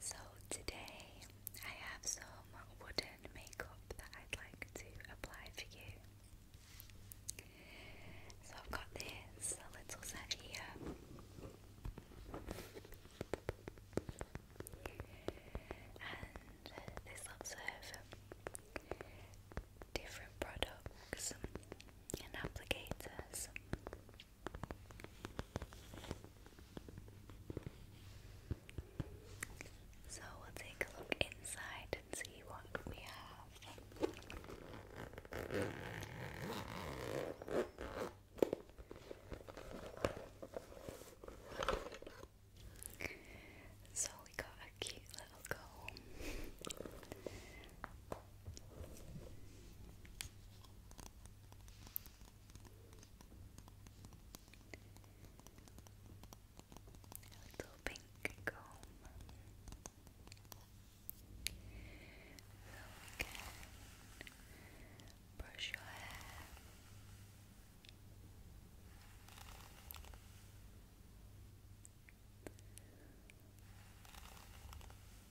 So today I have some wooden makeup that I'd like to apply for you. So I've got this little set here. And this lots of different products and applicators so we'll take a look inside and see what we have. So we got a cute little comb little pink comb. So brush your hair.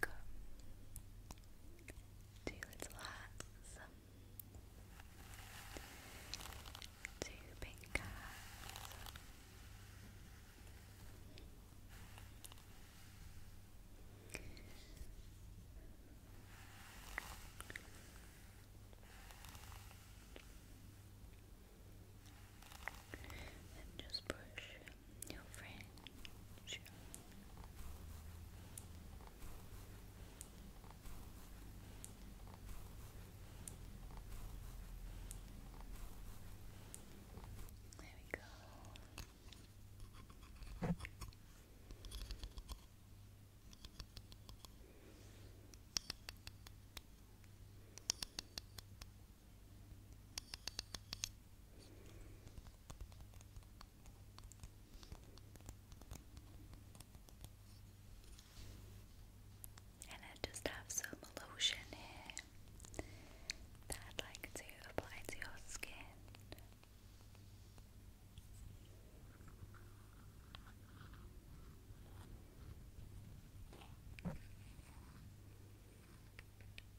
Come to relax to pink cats and just brush new fringe. There we go. There and I just have some lotion here that I'd like to apply to your skin.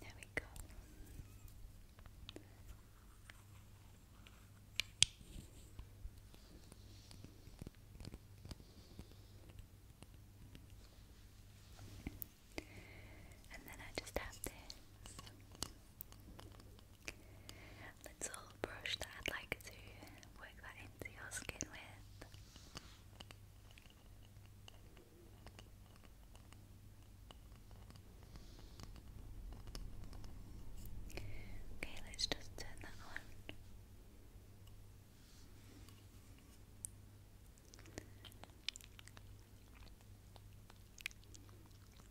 There we go. And then I just have this let brush that I'd like to work that into your skin with. Okay, let's just turn that on.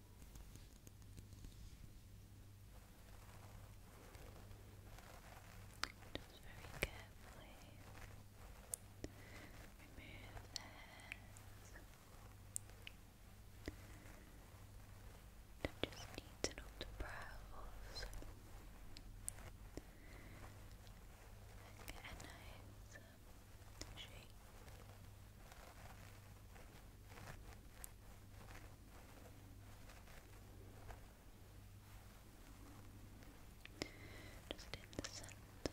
Just very carefully remove the hairs. I just need to know the brows. And get um, shape. Just in the center. And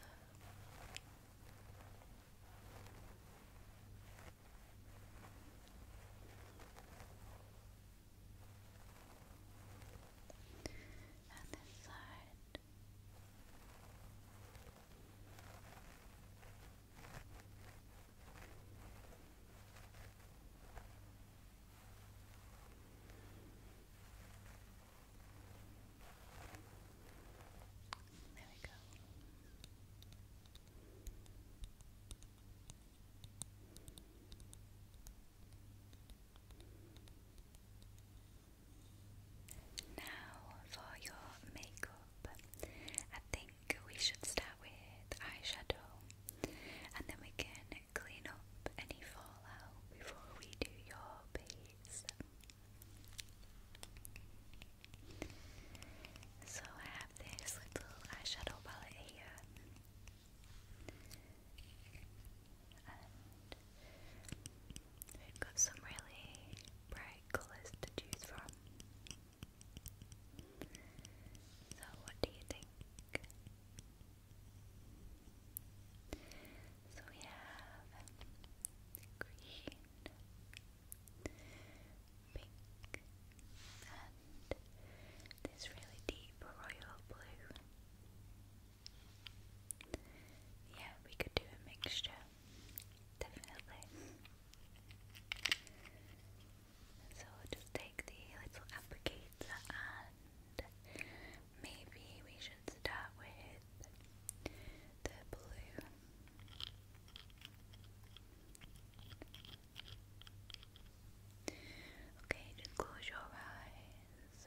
this side. There we go. Now for your makeup. I think we should start with eyeshadow and then we can clean up any fallout before we do your base. So I have this little eyeshadow palette here. And we've got some really bright colours to choose from. So, what do you think? So we have green, pink, and this really deep royal blue. Yeah, we could do a mixture definitely. So just take the little applicator and maybe we should start with the blue. Okay, just close your eyes.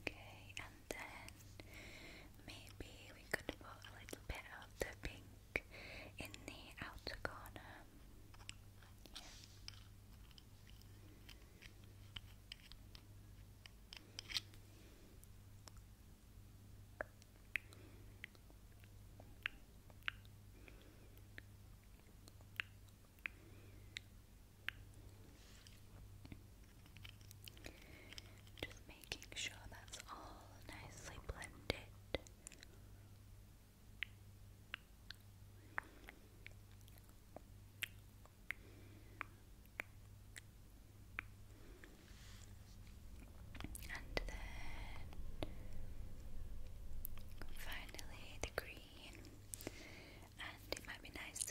Okay, and then maybe we could put a little bit of the pink in the outer corner. Just making sure that's all nicely blended. And then finally the green. And it might be nice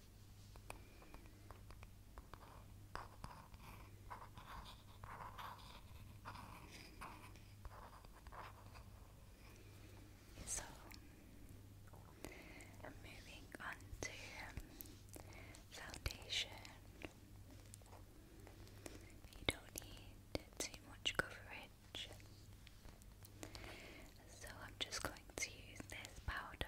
So, moving on to um, foundation, you don't need too much coverage, so I'm just going to use this powder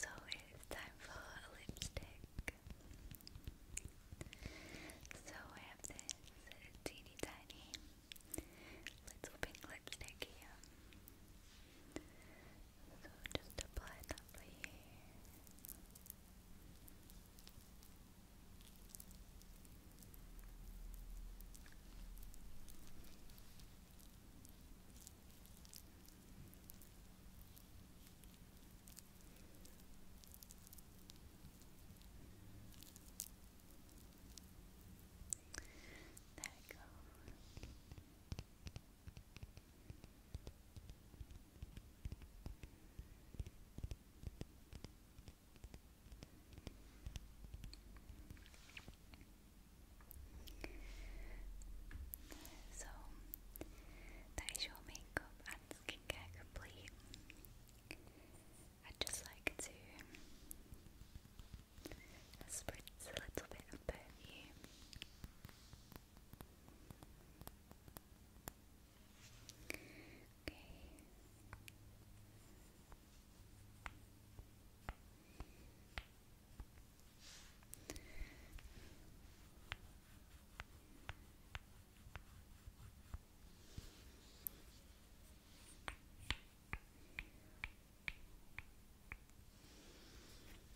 So it's time for a lipstick. So I have this teeny tiny little pink lipstick So just apply that for you. There we So that is your makeup and skincare complete. I'd just like to spritz a little bit of perfume Okay.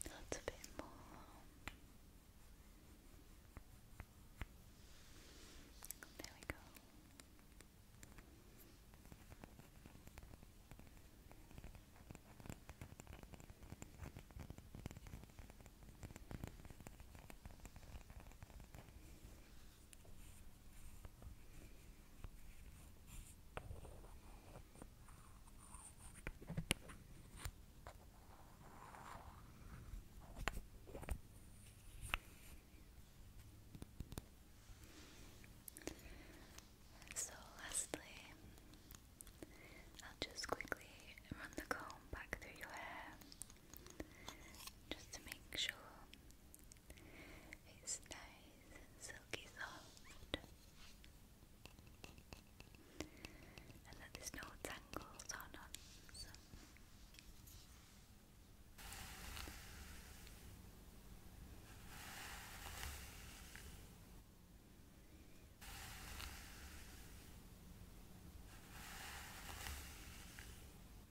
That's a bit more. There we go. So, lastly, I'll just quickly run the comb back through your hair just to make sure it's nice and silky soft and that there's no tangles or knots.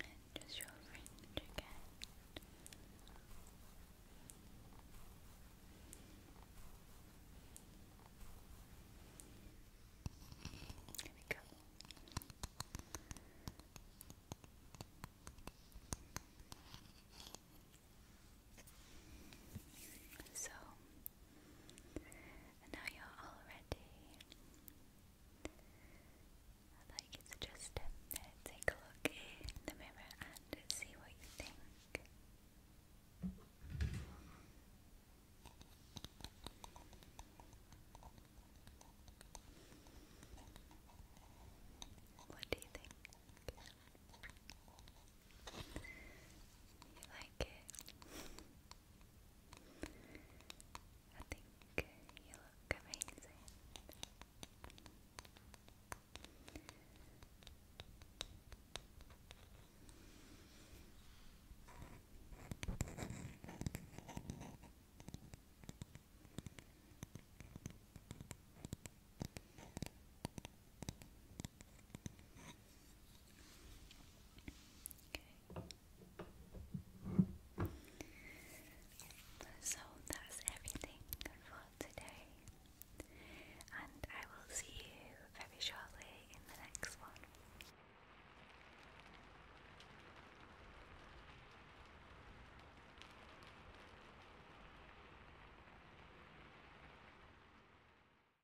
And just your fringe again. There we go. So and now you're all ready. I'd like you to just take a look in the mirror and see what you think. What do you think? You like it? I think you look amazing. Okay. So that's everything for today, and I will see you very shortly in the next one.